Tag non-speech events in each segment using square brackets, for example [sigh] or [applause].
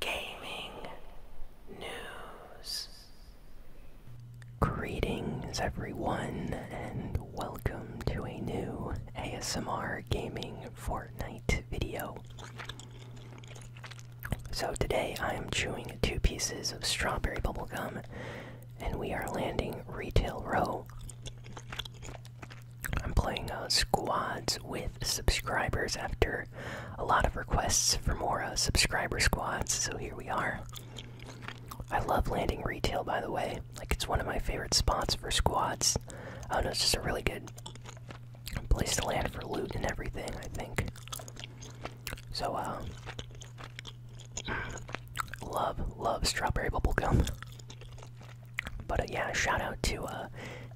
gaming news. Greetings, everyone, and welcome to a new ASMR Gaming Fortnite video. So, today I am chewing two pieces of strawberry bubble gum, and we are landing Retail Row. I'm playing a uh, squads with subscribers after a lot of requests for more uh, subscriber squads, so here we are. I love landing retail, by the way. Like, it's one of my favorite spots for squads. I do know, it's just a really good place to land for loot and everything, I think. So, uh, Love, love strawberry bubblegum. But, uh, yeah, shout out to,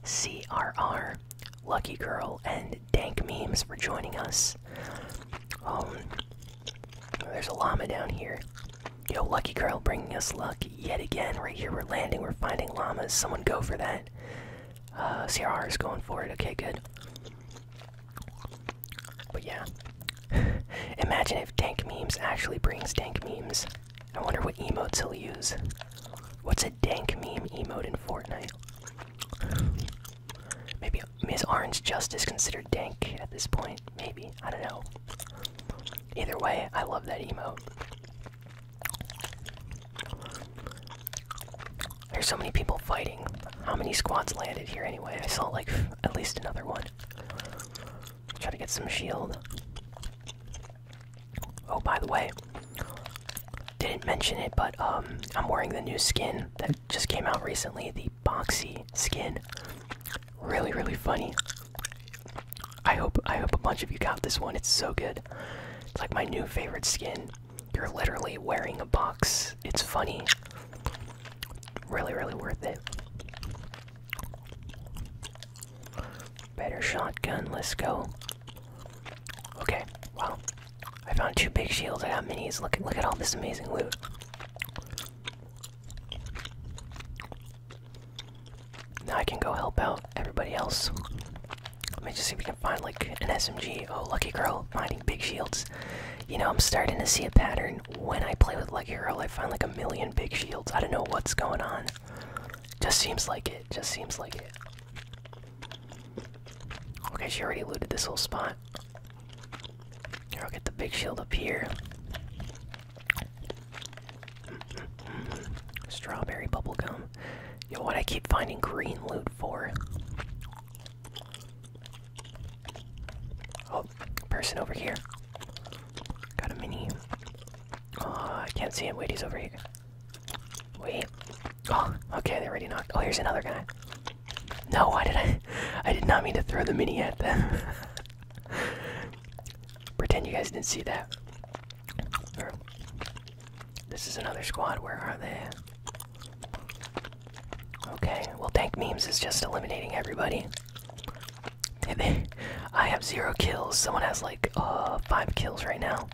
CRR Lucky Girl, and Dank Memes for joining us. Um, there's a llama down here. Yo, Lucky Girl bringing us luck yet again. Right here, we're landing, we're finding llamas. Someone go for that. Uh, CRR is going for it. Okay, good. But yeah. [laughs] Imagine if Dank Memes actually brings Dank Memes. I wonder what emotes he'll use. What's a dank meme emote in Fortnite? Maybe Ms. Orange Justice considered dank at this point. Maybe. I don't know. Either way, I love that emote. There's so many people fighting. How many squads landed here anyway? I saw like at least another one. Try to get some shield. Oh, by the way, didn't mention it, but um, I'm wearing the new skin that just came out recently, the boxy skin. Really, really funny. I hope I hope a bunch of you got this one. It's so good. It's like my new favorite skin. You're literally wearing a box. It's funny. Really, really worth it. Better shotgun, let's go. Okay, wow. I found two big shields, I got minis. Look at look at all this amazing loot. Now I can go help out everybody else. Let me just see if we can find like an SMG. Oh, Lucky Girl finding big shields. You know, I'm starting to see a pattern. When I play with Lucky Girl, I find like a million big shields. I don't know what's going on. Just seems like it. Just seems like it. Okay, she already looted this whole spot. Here, I'll get the big shield up here. Strawberry bubble gum. You know what I keep finding green loot for. Oh, person over here. Got a mini. Oh, I can't see him. Wait, he's over here. Wait. Oh, okay, they are already knocked. Oh, here's another guy. No, why did I? [laughs] I did not mean to throw the mini at them. [laughs] Pretend you guys didn't see that. this is another squad. Where are they? Okay, well, Tank Memes is just eliminating everybody. I have zero kills. Someone has like uh, five kills right now.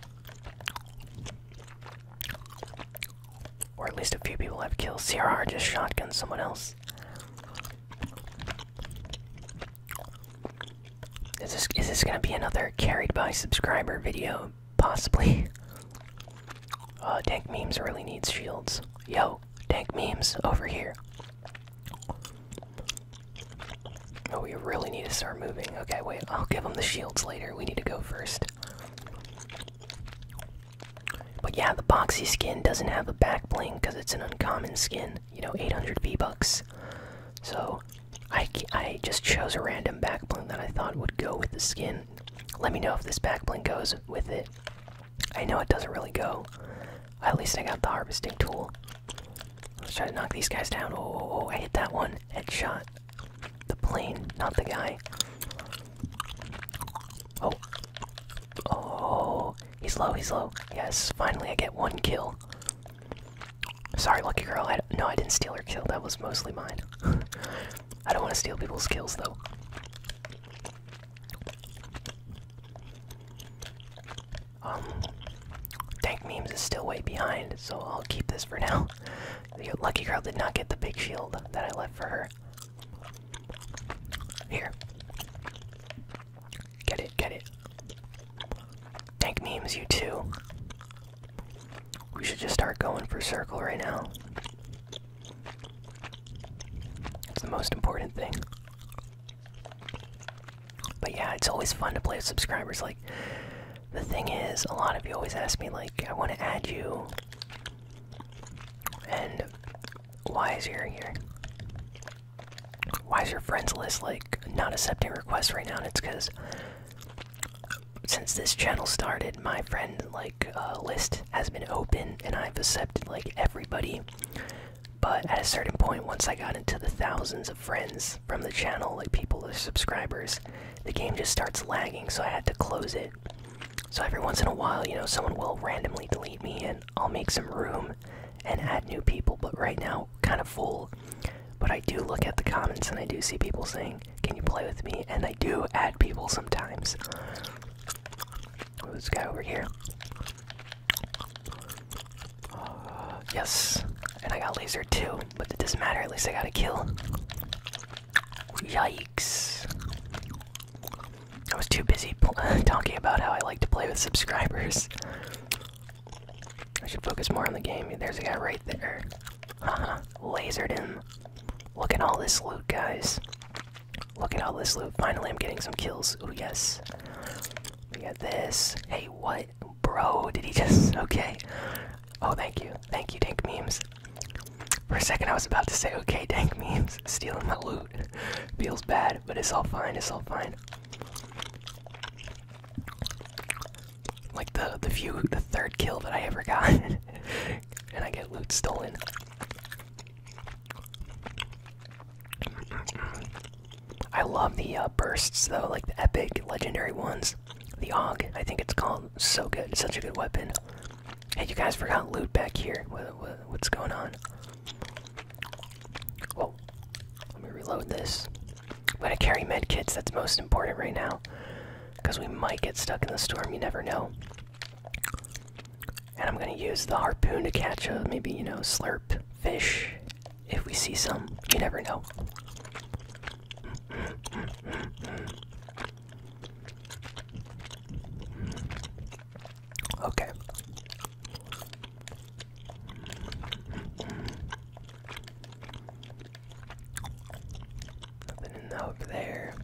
Or at least a few people have kills. CRR just shotgunned someone else. Is this is this gonna be another carried by subscriber video? Possibly. [laughs] Uh, tank memes really needs shields. Yo, tank memes over here. Oh, we really need to start moving. Okay, wait, I'll give them the shields later. We need to go first. But yeah, the boxy skin doesn't have a back bling because it's an uncommon skin. You know, 800 V-Bucks. So, I, I just chose a random back bling that I thought would go with the skin. Let me know if this back bling goes with it. I know it doesn't really go. At least I got the harvesting tool. Let's try to knock these guys down. Oh, oh, oh, I hit that one. Headshot. The plane, not the guy. Oh. Oh. He's low, he's low. Yes, finally I get one kill. Sorry, lucky girl. I, no, I didn't steal her kill. That was mostly mine. [laughs] I don't want to steal people's kills, though. Um, tank memes is still way behind, so I'll keep this for now. [laughs] The lucky girl did not get the big shield that I left for her. Here. Get it, get it. Tank memes, you too. We should just start going for circle right now. It's the most important thing. But yeah, it's always fun to play with subscribers. Like, the thing is, a lot of you always ask me, like, I want to add you. And why is your Why is your friends list like not accepting requests right now? And it's because since this channel started, my friend like uh, list has been open, and I've accepted like everybody. But at a certain point, once I got into the thousands friends from the channel, like people, the subscribers, the game just starts lagging, so I had to close it. So every once in a while, you know, someone will randomly delete me and I'll make some room and add new people, but right now, kind of full. But I do look at the comments and I do see people saying, Can you play with me? And I do add people sometimes. this guy over here? Uh, yes, and I got laser too, but it doesn't matter, at least I got a kill. Yikes. I was too busy [laughs] talking about how I like to play with subscribers. I should focus more on the game. There's a guy right there. Haha, lasered him. Look at all this loot, guys. Look at all this loot. Finally, I'm getting some kills. Oh, yes. We got this. Hey, what? Bro, did he just. Okay. Oh, thank you. Thank you, Dank Memes. For a second, I was about to say, okay, Dank Memes, stealing my loot. Feels bad, but it's all fine, it's all fine. Like the, the few, the third kill that I ever got, [laughs] and I get loot stolen. I love the uh, bursts though, like the epic legendary ones. The Og, I think it's called. So good, such a good weapon. Hey, you guys forgot loot back here. what's going on? Whoa, let me reload this. I'm gonna carry med kits. That's most important right now, because we might get stuck in the storm. You never know. And I'm gonna use the harpoon to catch a maybe you know slurp fish if we see some, you never know. Okay. Nothing in there.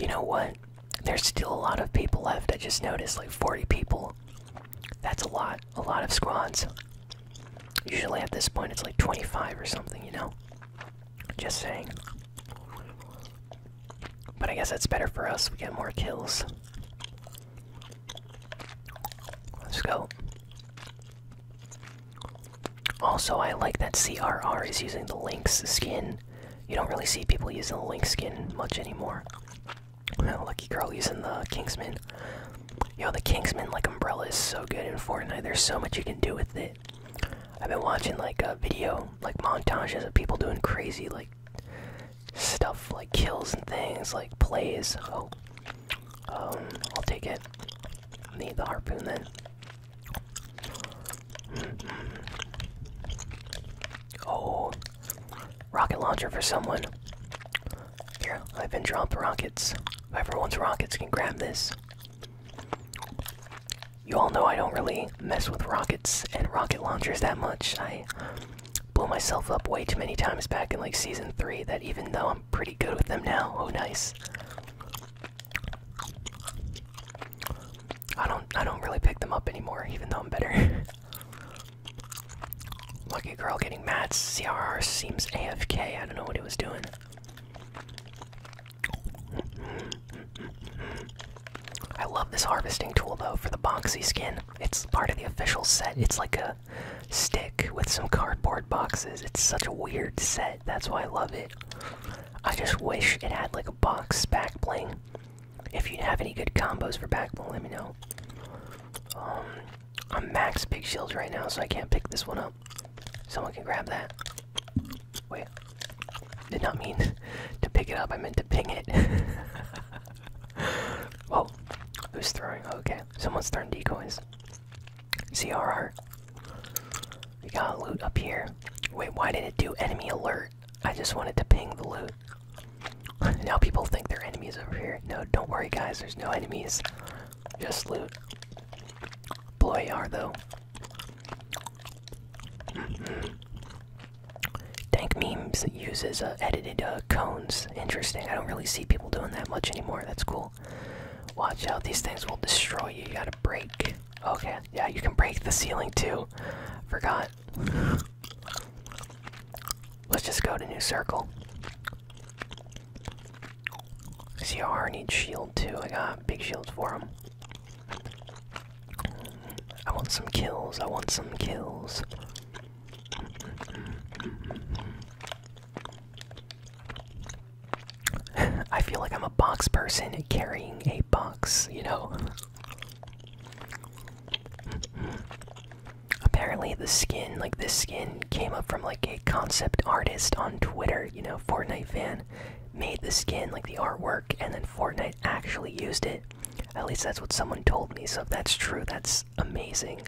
You know what? There's still a lot of people left. I just noticed like 40 people. That's a lot a lot of squads. Usually at this point, it's like 25 or something, you know? Just saying. But I guess that's better for us. We get more kills. Let's go. Also, I like that CRR is using the Lynx skin. You don't really see people using the Lynx skin much anymore. No, Lucky Girl using the Kingsman. Yo, the Kingsman like umbrella is so good in Fortnite. There's so much you can do with it. I've been watching like a video, like montages of people doing crazy like stuff, like kills and things, like plays. Oh, um, I'll take it. need the harpoon then. Mm-hmm. Oh, rocket launcher for someone. Here, I've been dropped rockets. Everyone's rockets can grab this. You all know I don't really mess with rockets and rocket launchers that much. I blew myself up way too many times back in like season 3 that even though I'm pretty good with them now, oh nice. I don't I don't really pick them up anymore even though I'm better. [laughs] Lucky girl getting mad. CRR seems AFK. I don't know what he was doing. I love this harvesting tool though for the boxy skin. It's part of the official set. It's like a stick with some cardboard boxes. It's such a weird set. That's why I love it. I just wish it had like a box back if you have any good combos for backbone, let me know. Um, I'm max big shield right now, so I can't pick this one up. Someone can grab that. Wait, did not mean [laughs] to pick it up. I meant to ping it. [laughs] Whoa, who's throwing? Okay, someone's throwing decoys. CRR. We got loot up here. Wait, why did it do enemy alert? I just wanted to ping the loot. [laughs] now people think there are enemies over here. No, don't worry, guys. There's no enemies. Just loot. Boy, are though. Tank -hmm. Dank Memes uses uh, edited uh, cones. Interesting. I don't really see people doing that much anymore. That's cool. Watch out. These things will destroy you. You gotta break. Okay. Yeah, you can break the ceiling, too. Forgot. Let's just go to new circle. See how CR needs shield too. I got big shields for him. I want some kills. I want some kills. [laughs] I feel like I'm a box person carrying a box, you know? Apparently, the skin, like this skin, came up from like a concept artist on Twitter. You know, Fortnite fan made the skin, like the artwork, and then Fortnite actually used it. At least that's what someone told me. So if that's true, that's amazing.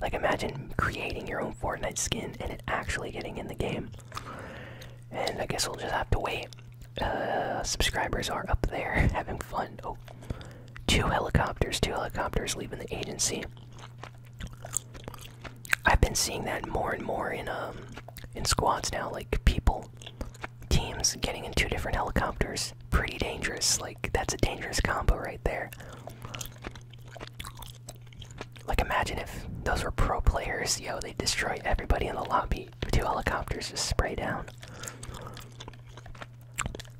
Like imagine creating your own Fortnite skin and it actually getting in the game. And I guess we'll just have to wait uh, subscribers are up there [laughs] having fun. Oh, two helicopters, two helicopters leaving the agency. I've been seeing that more and more in um in squads now, like people, teams getting in two different helicopters. Pretty dangerous. Like that's a dangerous combo right there. Like imagine if those were pro players, yo, they destroy everybody in the lobby two helicopters just spray down.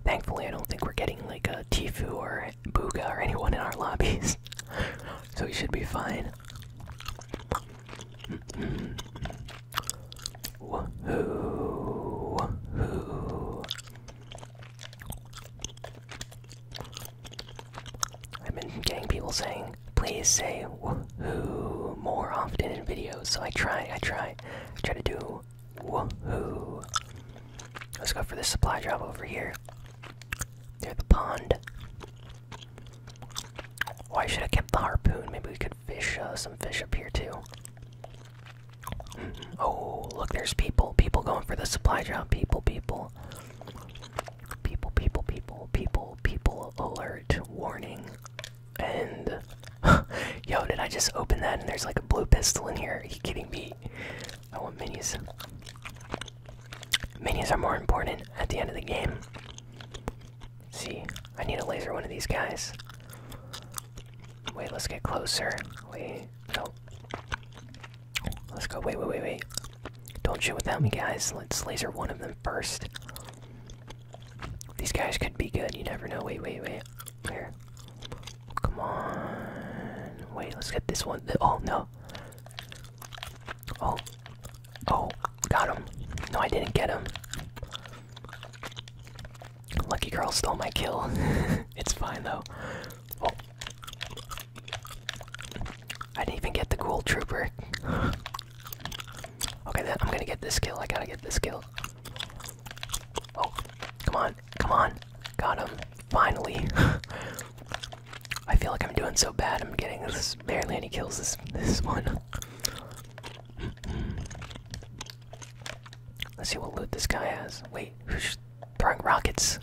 Thankfully, I don't think we're getting like a Tifu or Booga or anyone in our lobbies, [laughs] so we should be fine. Mm -hmm. I've been getting people saying, "Please say woohoo more often in videos." So I try, I try, Try to do woohoo. Let's go for the supply drop over here. Near the pond. Why oh, should I kept the harpoon? Maybe we could fish uh, some fish up here too. Mm-hmm. Oh, look, there's people. People going for the supply drop. people. People, people, people, people, people alert. Warning. And [laughs] yo, did I just open that and there's like a blue pistol in here? Are you kidding me? I want minis. Minis are more important at the end of the game. See, I need to laser one of these guys. Wait, let's get closer. Wait, no. Let's go. Wait, wait, wait, wait. Don't shoot without me, guys. Let's laser one of them first. These guys could be good, you never know. Wait, wait, wait. Where? Come on. Wait, let's get this one. Oh, no. Oh. Oh, got him. No, I didn't get him. Lucky girl stole my kill. [laughs] it's fine, though. Oh. I didn't even get the ghoul trooper. Okay, then I'm gonna get this kill. I gotta get this kill. Oh, come on, come on. Got him. Finally. [laughs] I feel like I'm doing so bad. I'm getting this barely any kills this this one. [laughs] Let's see what loot this guy has. Wait, who's throwing rockets?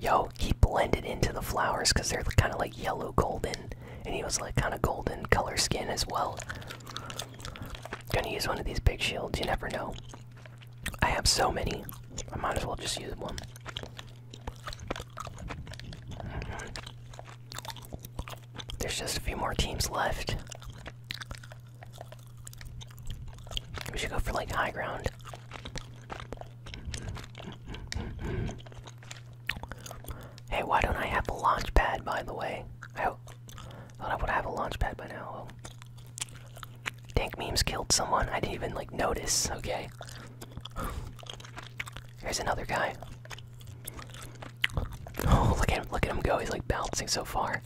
Yo, he blended into the flowers because they're kind of like yellow golden and he was like kind of golden color skin as well. Gonna use one of these big shields, you never know. I have so many, I might as well just use one. Mm-hmm. There's just a few more teams left. We should go for like high ground. Hey, why don't I have a launch pad, by the way? I thought I would have a launch pad by now. Well, oh. Dank memes killed someone. I didn't even like notice. Okay. Here's another guy. [laughs] Oh, look at him! Look at him go. He's like bouncing so far.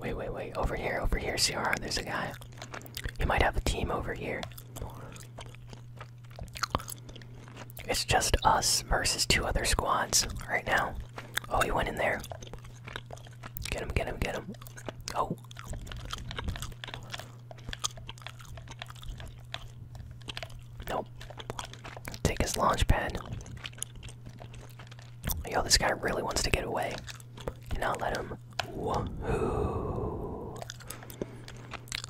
Wait, wait, wait! Over here, over here, Ciara. There's a guy. He might have a team over here. It's just us versus two other squads right now. Oh, he went in there. Get him, get him, get him. Oh. Nope. Take his launch pad. Yo, this guy really wants to get away and i let him.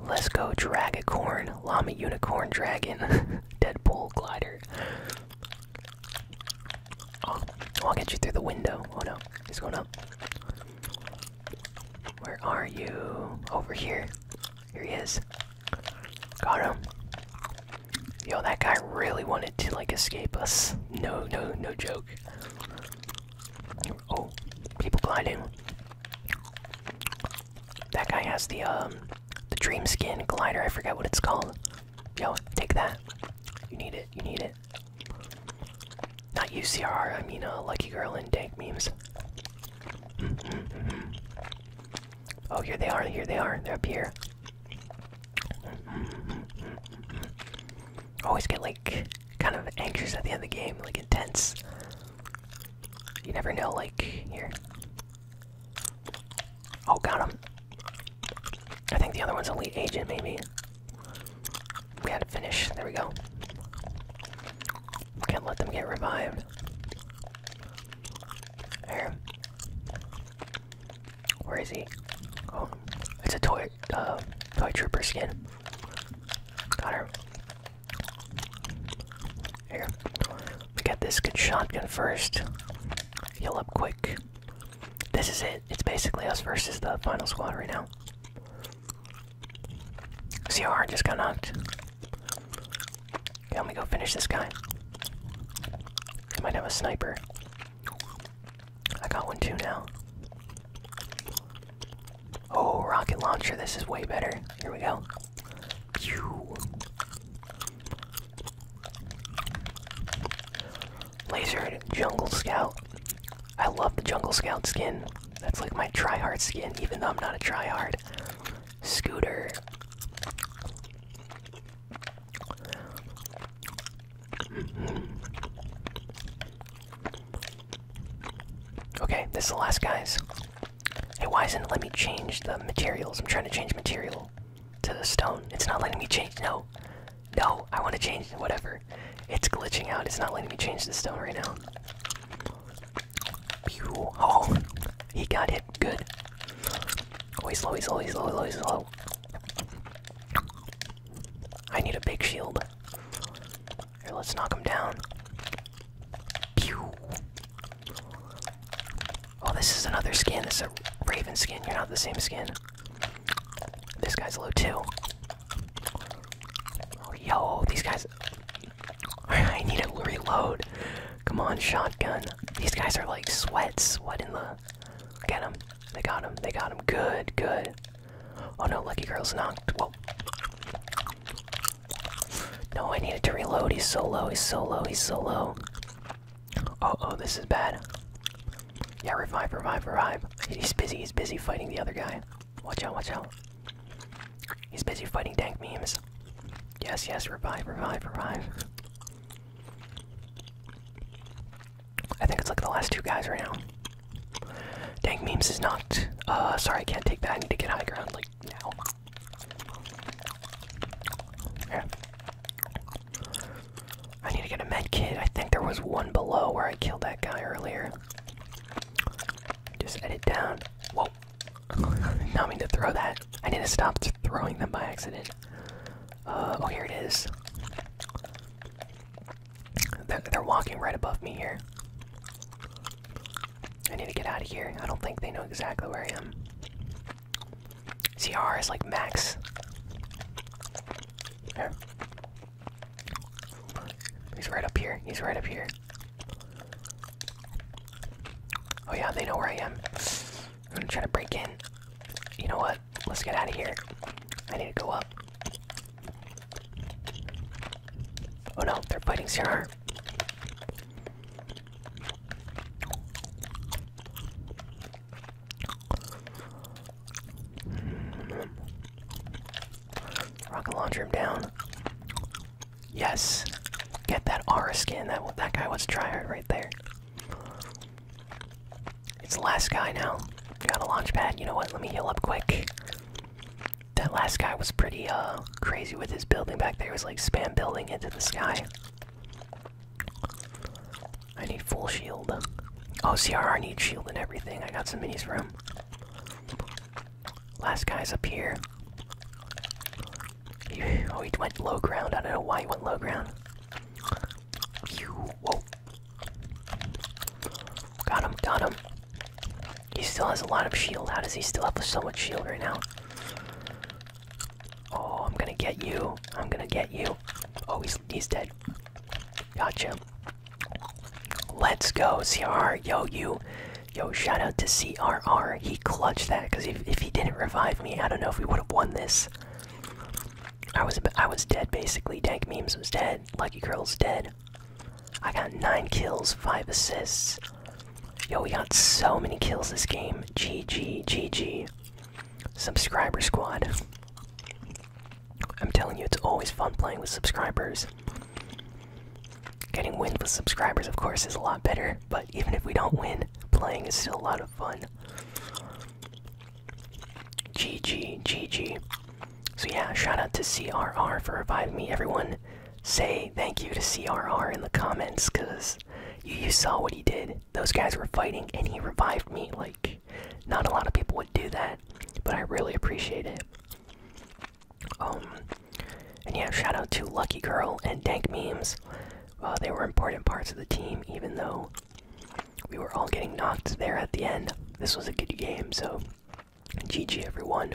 Let's go, Dragacorn, Llama Unicorn Dragon, [laughs] Deadpool Glider. I'll get you through the window. Oh no, he's going up. Where are you? Over here. Here he is. Got him. Yo, that guy really wanted to like escape us. No, no, no joke. Oh, people gliding. That guy has the um the dream skin glider, I forget what it's called. Yo, take that. You need it, you need it. Not UCR, I mean a uh, Lucky Girl in Dank memes. Mm-hmm. Oh here they are, here they are, they're up here always get like kind of anxious at the end of the game, like intense. You never know, like here. Oh, got him. I think the other one's elite agent, maybe. We had to finish. There we go. Can't let them get revived. There. Where is he? Oh, it's a toy, uh, toy trooper skin. Got her. Here, we get this good shotgun first. Heal up quick. This is it. It's basically us versus the final squad right now. See how hard just got knocked. Okay, let me go finish this guy. He might have a sniper. I got one too now. Oh, rocket launcher. This is way better. Here we go. Pew. Lasered Jungle Scout. I love the Jungle Scout skin. That's like my tryhard skin, even though I'm not a tryhard. Scooter. Okay, this is the last guys. Hey, why isn't it let me change the materials? I'm trying to change material to the stone. It's not letting me change. No, no, I want to change whatever. It's glitching out. It's not letting me change the stone right now. Pew. Oh, he got hit. Good. Oh, he's low. He's low. He's low. He's low. He's low. I need a big shield. Here, let's knock him down. Pew. Oh, this is another skin. This is a Raven skin. You're not the same skin. This guy's low too. Oh, yo, these guys. [laughs] I need to reload. Come on, shotgun. These guys are like sweats. Sweat in the? Get him. They got him. They got him. Good, good. Oh no, Lucky Girl's knocked. Well. No, I needed to reload. He's so low. He's so low. He's so low. Oh oh, this is bad. Yeah, revive, revive, revive. He's busy. He's busy fighting the other guy. Watch out, watch out. He's busy fighting dank memes. Yes, yes, revive, revive, revive. I think it's like the last two guys right now. Dank memes is not. Uh, sorry, I can't take that. I need to get high ground like now. Yeah. I need to get a med kit. I think there was one below where I killed that guy earlier. Just edit down. Whoa. [laughs] Not mean to throw that. I need to stop throwing them by accident. Uh, oh, here it is. They're, walking right above me here. I need to get out of here. I don't think they know exactly where I am. CR is like max. There. He's right up here. He's right up here. Oh yeah, they know where I am. I'm gonna try to break in. You know what? Let's get out of here. I need to go up. Oh no, they're fighting CR. Rocket launcher him down. Yes, get that R skin. That that guy was tryhard right there. It's the last guy now. Got a launch pad. You know what? Let me heal up quick. That last guy was pretty uh crazy with his building back there. He was like spam building into the sky. I need full shield. Oh, CRR needs shield and everything. I got some minis for him. Last guy's up here. oh, he went low ground. I don't know why he went low ground. Whoa. Got him, got him. He still has a lot of shield. How does he still have so much shield right now? Oh, I'm gonna get you. I'm gonna get you. Oh, he's, he's dead. Gotcha. Let's go, CR. Yo, you. Yo, shout out to CRR. He clutched that because if, if he didn't revive me, I don't know if we would have won this. I was I was dead basically. Dank memes was dead. Lucky girl's dead. I got nine kills, five assists. Yo, we got so many kills this game. GG, GG. Subscriber squad. I'm telling you, it's always fun playing with subscribers. Getting wins with subscribers, of course, is a lot better, but even if we don't win, playing is still a lot of fun. GG, GG. So, yeah, shout out to CRR for reviving me. Everyone, say thank you to CRR in the comments because you, saw what he did. Those guys were fighting and he revived me. Like, not a lot of people would do that, but I really appreciate it. Um, and yeah, shout out to Lucky Girl and Dank Memes. Uh, they were important parts of the team, even though we were all getting knocked there at the end. This was a good game, so GG everyone.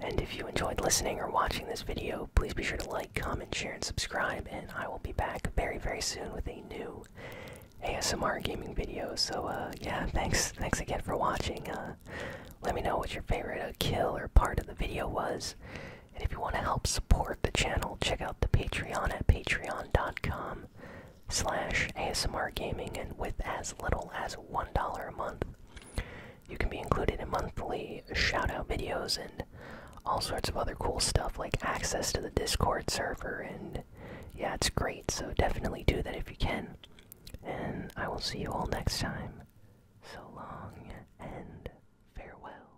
And if you enjoyed listening or watching this video, please be sure to like, comment, share, and subscribe. And I will be back very, very soon with a new ASMR gaming video. So uh, yeah, thanks, thanks again for watching. Uh, let me know what your favorite uh, kill or part of the video was. And if you want to help support the channel, check out the Patreon at Patreon dot com slash ASMR Gaming, and with as little as $1 a month, you can be included in monthly shout-out videos and all sorts of other cool stuff like access to the Discord server, and yeah, it's great, so definitely do that if you can. And I will see you all next time. So long and farewell.